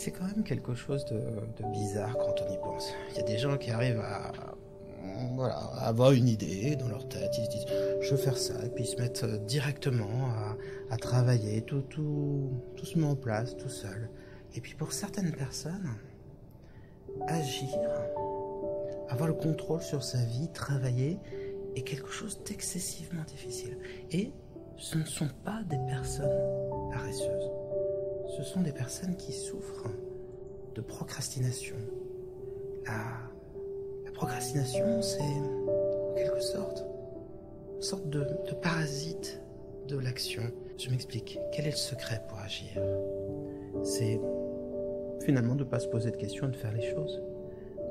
C'est quand même quelque chose de, bizarre quand on y pense. Il y a des gens qui arrivent à, avoir une idée dans leur tête, ils se disent je veux faire ça, et puis ils se mettent euh, directement à, travailler, tout, tout, tout se met en place tout seul. Et puis pour certaines personnes, agir, avoir le contrôle sur sa vie, travailler, est quelque chose d'excessivement difficile. Et ce ne sont pas des personnes paresseuses. Ce sont des personnes qui souffrent de procrastination. La, procrastination, c'est en quelque sorte une sorte de parasite de l'action. Je m'explique. Quel est le secret pour agir C'est finalement de ne pas se poser de questions et de faire les choses.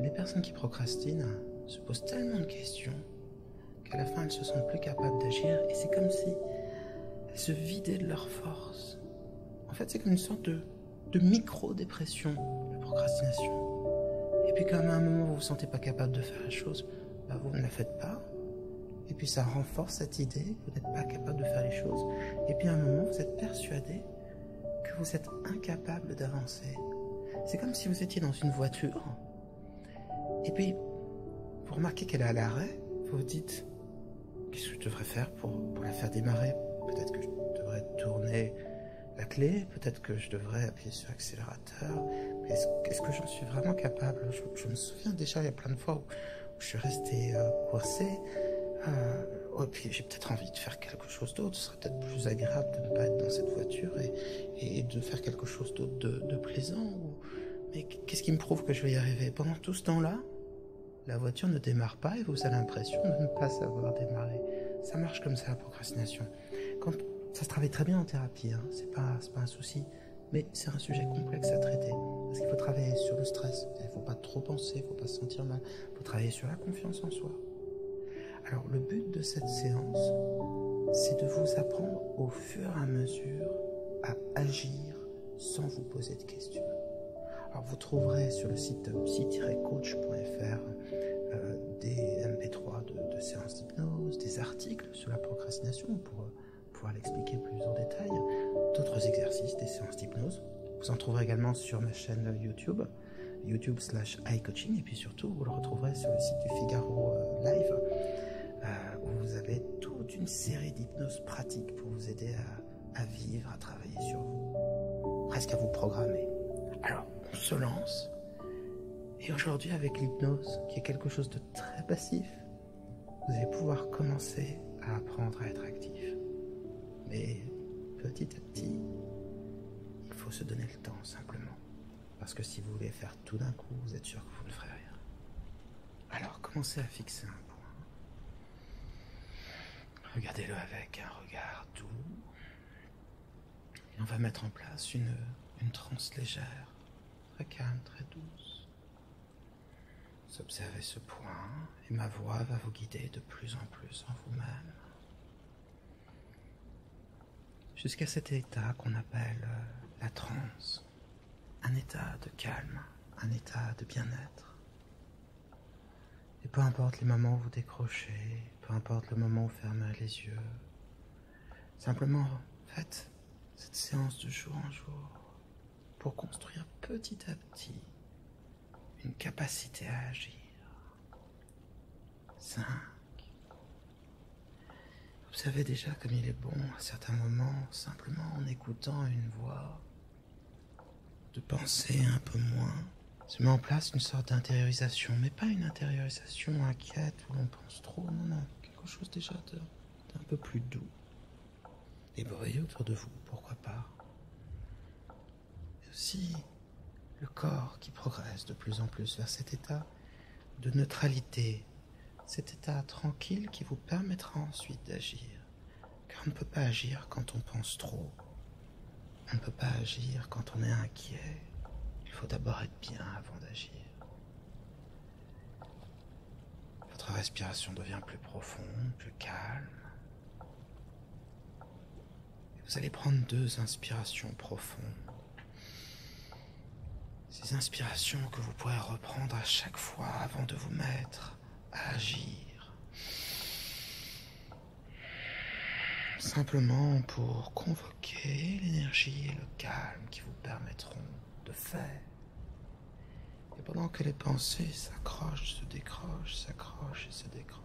Les personnes qui procrastinent se posent tellement de questions qu'à la fin elles se sentent plus capables d'agir et c'est comme si elles se vidaient de leur force. En fait, c'est comme une sorte de, micro-dépression, la procrastination. Et puis, quand à un moment vous vous sentez pas capable de faire la chose, bah, vous ne la faites pas et puis ça renforce cette idée, vous n'êtes pas capable de faire les choses, et puis à un moment, vous êtes persuadé que vous êtes incapable d'avancer. C'est comme si vous étiez dans une voiture, et puis vous remarquez qu'elle est à l'arrêt, vous vous dites, qu'est-ce que je devrais faire pour, la faire démarrer Peut-être que je devrais tourner la clé, peut-être que je devrais appuyer sur l'accélérateur, est-ce que j'en suis vraiment capable je, je, me souviens déjà, il y a plein de fois où, je suis resté euh, coincé. Euh, oh, puis j'ai peut-être envie de faire quelque chose d'autre. Ce serait peut-être plus agréable de ne pas être dans cette voiture et, de faire quelque chose d'autre de, plaisant. Mais qu'est-ce qui me prouve que je vais y arriver Pendant tout ce temps-là, la voiture ne démarre pas et vous avez l'impression de ne pas savoir démarrer. Ça marche comme ça la procrastination. ça se travaille très bien en thérapie, hein. c'est pas un souci. Mais c'est un sujet complexe à traiter. Parce qu'il faut travailler sur le stress. Il ne faut pas trop penser, il ne faut pas se sentir mal. Il faut travailler sur la confiance en soi. Alors le but de cette séance, c'est de vous apprendre au fur et à mesure à agir sans vous poser de questions. Alors vous trouverez sur le site psy-coach.fr euh, des MP3 de, de séances d'hypnose, des articles sur la procrastination pour euh, pouvoir l'expliquer plus en détail, d'autres exercices, des séances d'hypnose. Vous en trouverez également sur ma chaîne YouTube, YouTube slash iCoaching, et puis surtout vous le retrouverez sur le site du Figaro euh, Live, euh, où vous avez toute une série d'hypnoses pratiques pour vous aider à, à vivre, à travailler sur vous, presque à vous programmer. Alors, on se lance, et aujourd'hui avec l'hypnose, qui est quelque chose de très passif, vous allez pouvoir commencer à apprendre à être actif. Mais petit à petit, il faut se donner le temps simplement. Parce que si vous voulez faire tout d'un coup, vous êtes sûr que vous ne ferez rien. Alors commencez à fixer un point. Regardez-le avec un regard doux. Et on va mettre en place une, une transe légère, très calme, très douce. Observez ce point et ma voix va vous guider de plus en plus en vous-même. Jusqu'à cet état qu'on appelle euh, la transe, un état de calme, un état de bien-être. Et peu importe les moments où vous décrochez, peu importe le moment où vous fermez les yeux, simplement faites cette séance de jour en jour, pour construire petit à petit une capacité à agir. 5. savez déjà comme il est bon à certains moments, simplement en écoutant une voix, de penser un peu moins. Se met en place une sorte d'intériorisation, mais pas une intériorisation inquiète où l'on pense trop, on a quelque chose déjà d'un peu plus doux, les bruits autour de vous, pourquoi pas. Et aussi le corps qui progresse de plus en plus vers cet état de neutralité, cet état tranquille qui vous permettra ensuite d'agir. Car on ne peut pas agir quand on pense trop. On ne peut pas agir quand on est inquiet. Il faut d'abord être bien avant d'agir. Votre respiration devient plus profonde, plus calme. vous allez prendre deux inspirations profondes. Ces inspirations que vous pourrez reprendre à chaque fois avant de vous mettre à agir. Simplement pour convoquer l'énergie et le calme qui vous permettront de faire. Et pendant que les pensées s'accrochent, se décrochent, s'accrochent et se décrochent,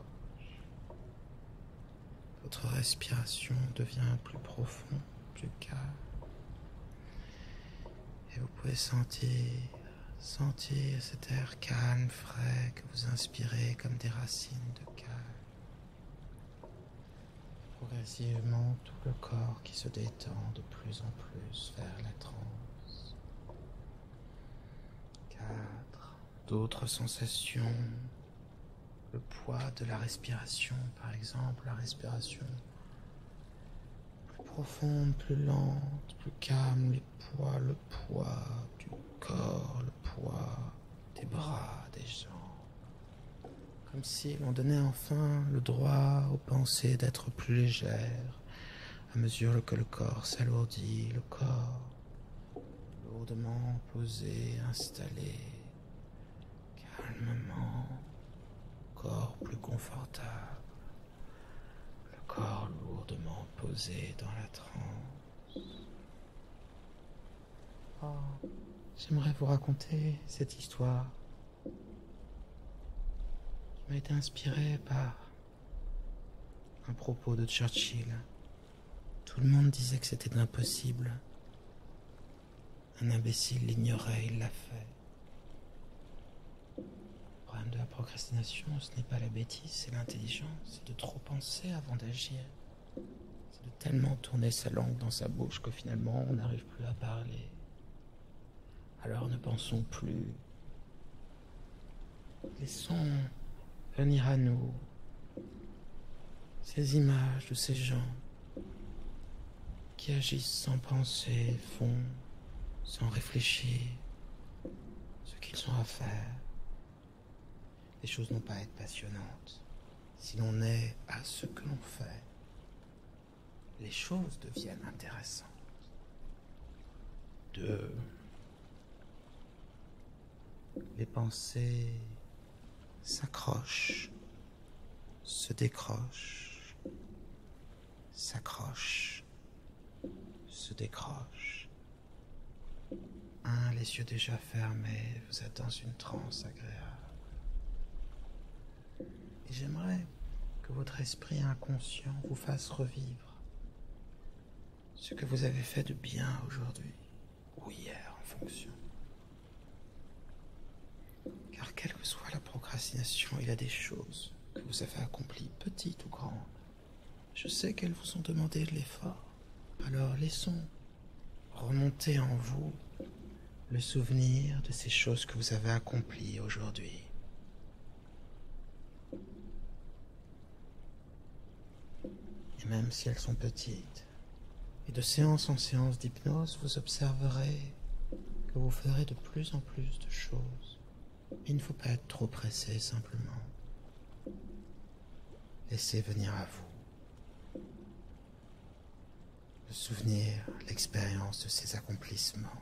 votre respiration devient plus profonde, plus calme. Et vous pouvez sentir, sentir cet air calme, frais que vous inspirez comme des racines de calme. Progressivement, tout le corps qui se détend de plus en plus vers la transe. Quatre, d'autres sensations, le poids de la respiration, par exemple, la respiration plus profonde, plus lente, plus calme, le poids, le poids du corps, le poids des bras, des jambes, comme si l'on donnait le droit aux pensées d'être plus légère, à mesure que le corps s'alourdit, le corps lourdement posé, installé, calmement, corps plus confortable, le corps lourdement posé dans la transe. Oh, j'aimerais vous raconter cette histoire je m'a été inspiré par un propos de Churchill. Tout le monde disait que c'était impossible. Un imbécile l'ignorait, il l'a fait. Le problème de la procrastination, ce n'est pas la bêtise, c'est l'intelligence, c'est de trop penser avant d'agir. C'est de tellement tourner sa langue dans sa bouche que finalement on n'arrive plus à parler. Alors ne pensons plus. Laissons venir à nous ces images de ces gens qui agissent sans penser, font sans réfléchir ce qu'ils ont à faire. Les choses n'ont pas à être passionnantes si l'on est à ce que l'on fait les choses deviennent intéressantes. Deux, les pensées s'accrochent, se décrochent, s'accrochent, se décrochent. Un, les yeux déjà fermés, vous êtes dans une transe agréable. Et j'aimerais que votre esprit inconscient vous fasse revivre ce que vous avez fait de bien aujourd'hui ou hier en fonction. Car quelle que soit la procrastination, il y a des choses que vous avez accomplies, petites ou grandes. Je sais qu'elles vous ont demandé de l'effort. Alors laissons remonter en vous le souvenir de ces choses que vous avez accomplies aujourd'hui. Et même si elles sont petites, et de séance en séance d'hypnose, vous observerez que vous ferez de plus en plus de choses. Il ne faut pas être trop pressé simplement. Laissez venir à vous. Le souvenir, l'expérience de ses accomplissements.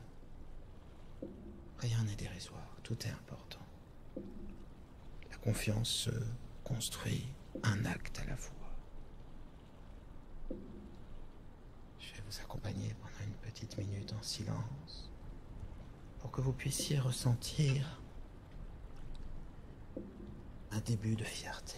Rien n'est dérisoire, tout est important. La confiance se construit un acte à la fois. Je vais vous accompagner pendant une petite minute en silence pour que vous puissiez ressentir un début de fierté,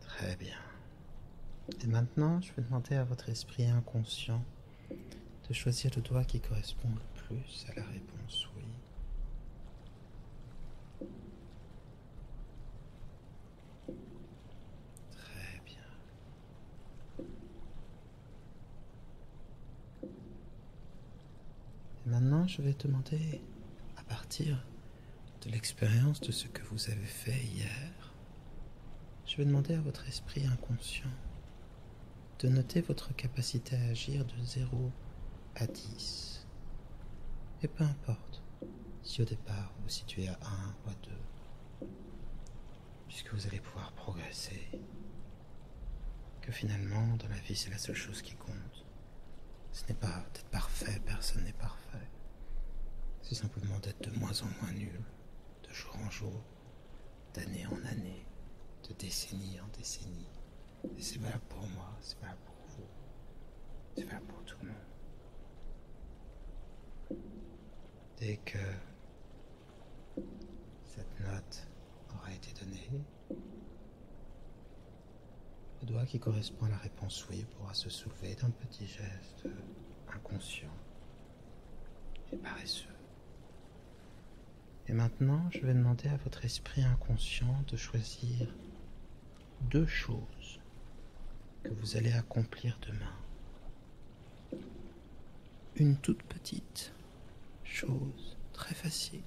Très bien. Et maintenant, je vais demander à votre esprit inconscient de choisir le doigt qui correspond le plus à la réponse oui. Très bien. maintenant, je vais te demander, à partir de l'expérience de ce que vous avez fait hier, je vais demander à votre esprit inconscient de noter votre capacité à agir de 0 à 10. Et peu importe, si au départ vous situez à 1 ou à 2, puisque vous allez pouvoir progresser, que finalement dans la vie c'est la seule chose qui compte. Ce n'est pas d'être parfait, personne n'est parfait. C'est simplement d'être de moins en moins nul, de jour en jour, d'année en année, de décennie en décennie. Et c'est valable pour moi, c'est valable c'est vrai pour tout le monde. Dès que cette note aura été donnée, le doigt qui correspond à la réponse oui pourra se soulever d'un petit geste inconscient et paresseux. Et maintenant, je vais demander à votre esprit inconscient de choisir deux choses que vous allez accomplir demain. Une toute petite chose très facile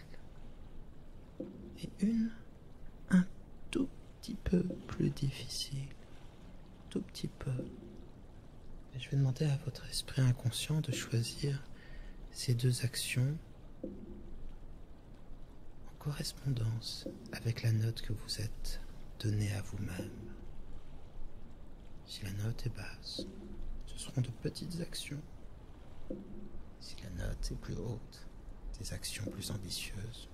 et une un tout petit peu plus difficile. Tout petit peu. je vais demander à votre esprit inconscient de choisir ces deux actions en correspondance avec la note que vous êtes donnée à vous-même. Si la note est basse, ce seront de petites actions. Si la note est plus haute, des actions plus ambitieuses.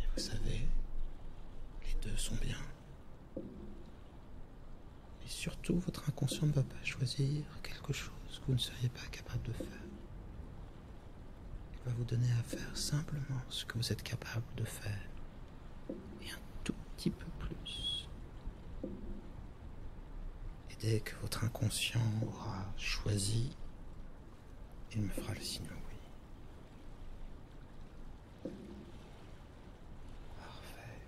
Et vous savez, les deux sont bien. Et surtout, votre inconscient ne va pas choisir quelque chose que vous ne seriez pas capable de faire. Il va vous donner à faire simplement ce que vous êtes capable de faire et un tout petit peu plus. Et dès que votre inconscient aura choisi, il me fera le signe oui. Parfait.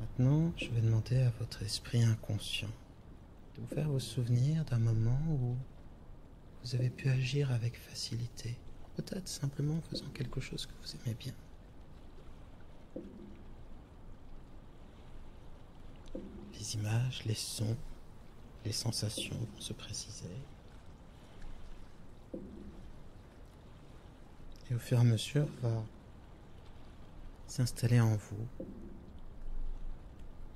Maintenant, je vais demander à votre esprit inconscient de vous faire vous souvenir d'un moment où vous avez pu agir avec facilité, peut-être simplement en faisant quelque chose que vous aimez bien. Les images, les sons, les sensations vont se préciser. Et au fur et à mesure va s'installer en vous.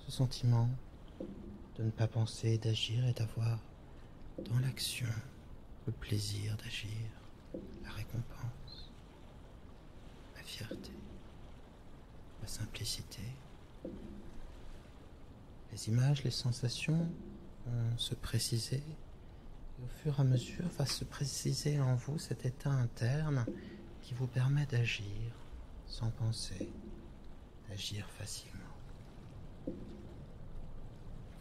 Ce sentiment de ne pas penser, d'agir et d'avoir dans l'action le plaisir d'agir, la récompense, la fierté, la simplicité. Les images, les sensations vont se préciser et au fur et à mesure va se préciser en vous cet état interne qui vous permet d'agir sans penser, d'agir facilement.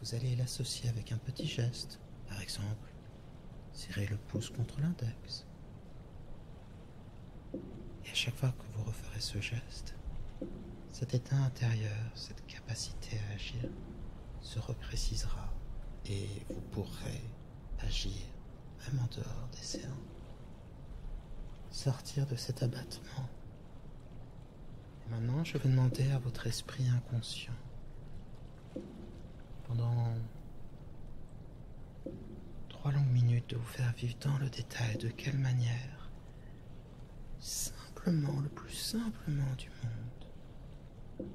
Vous allez l'associer avec un petit geste, par exemple, serrer le pouce contre l'index. Et à chaque fois que vous referez ce geste, cet état intérieur, cette capacité à agir, se reprécisera et vous pourrez agir même en dehors des séances, sortir de cet abattement. maintenant, je vais demander à votre esprit inconscient, pendant trois longues minutes, de vous faire vivre dans le détail de quelle manière, simplement, le plus simplement du monde,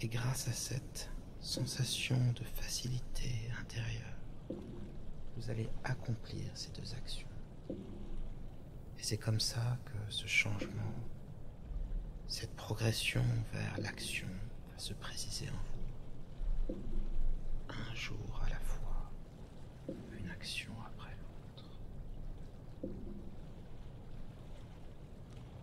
et grâce à cette sensation de facilité intérieure, vous allez accomplir ces deux actions. Et c'est comme ça que ce changement, cette progression vers l'action va se préciser en vous. Un jour à la fois, une action après l'autre.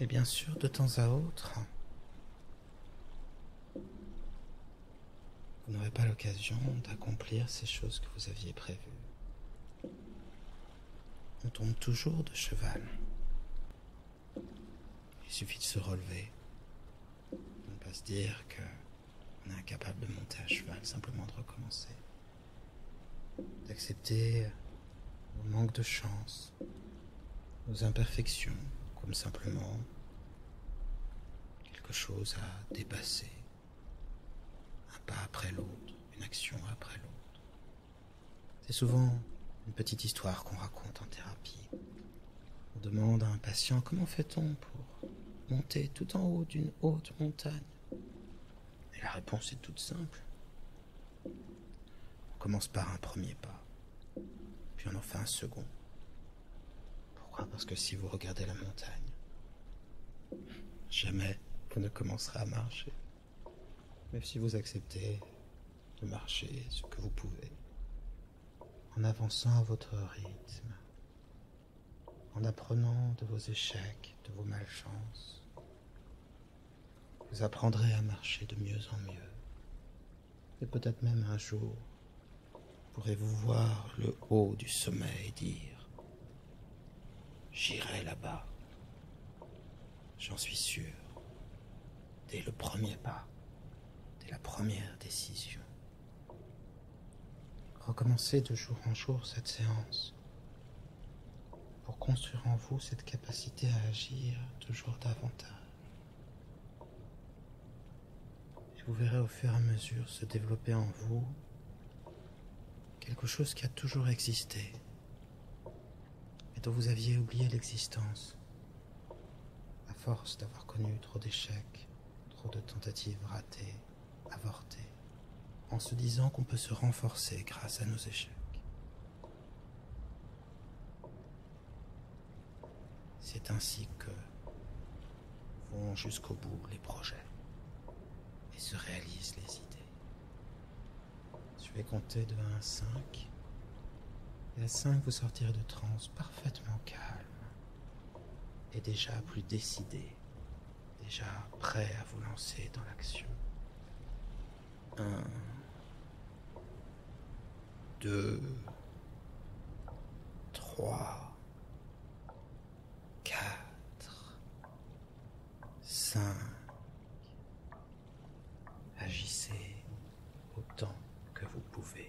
Et bien sûr, de temps à autre, vous n'aurez pas l'occasion d'accomplir ces choses que vous aviez prévues. On tombe toujours de cheval. Il suffit de se relever. On ne pas se dire qu'on est incapable de monter à cheval, simplement de recommencer. D'accepter nos manques de chance, nos imperfections, comme simplement quelque chose à dépasser. Un pas après l'autre, une action après l'autre. C'est souvent une petite histoire qu'on raconte en thérapie. On demande à un patient comment fait-on pour monter tout en haut d'une haute montagne Et la réponse est toute simple. On commence par un premier pas, puis on en fait un second. Pourquoi Parce que si vous regardez la montagne, jamais vous ne commencerez à marcher. Même si vous acceptez de marcher ce que vous pouvez, en avançant à votre rythme, en apprenant de vos échecs, de vos malchances, vous apprendrez à marcher de mieux en mieux. Et peut-être même un jour, pourrez-vous voir le haut du sommet et dire J'irai là-bas. J'en suis sûr. Dès le premier pas, dès la première décision. Recommencez de jour en jour cette séance pour construire en vous cette capacité à agir toujours davantage. Et vous verrez au fur et à mesure se développer en vous quelque chose qui a toujours existé, et dont vous aviez oublié l'existence, à force d'avoir connu trop d'échecs, trop de tentatives ratées, avortées, en se disant qu'on peut se renforcer grâce à nos échecs. C'est ainsi que vont jusqu'au bout les projets et se réalisent les idées. Je vais compter de 1 à 5. Et à 5, vous sortirez de transe parfaitement calme. Et déjà plus décidé. Déjà prêt à vous lancer dans l'action. 1. 2. 3. 4. Agissez autant que vous pouvez.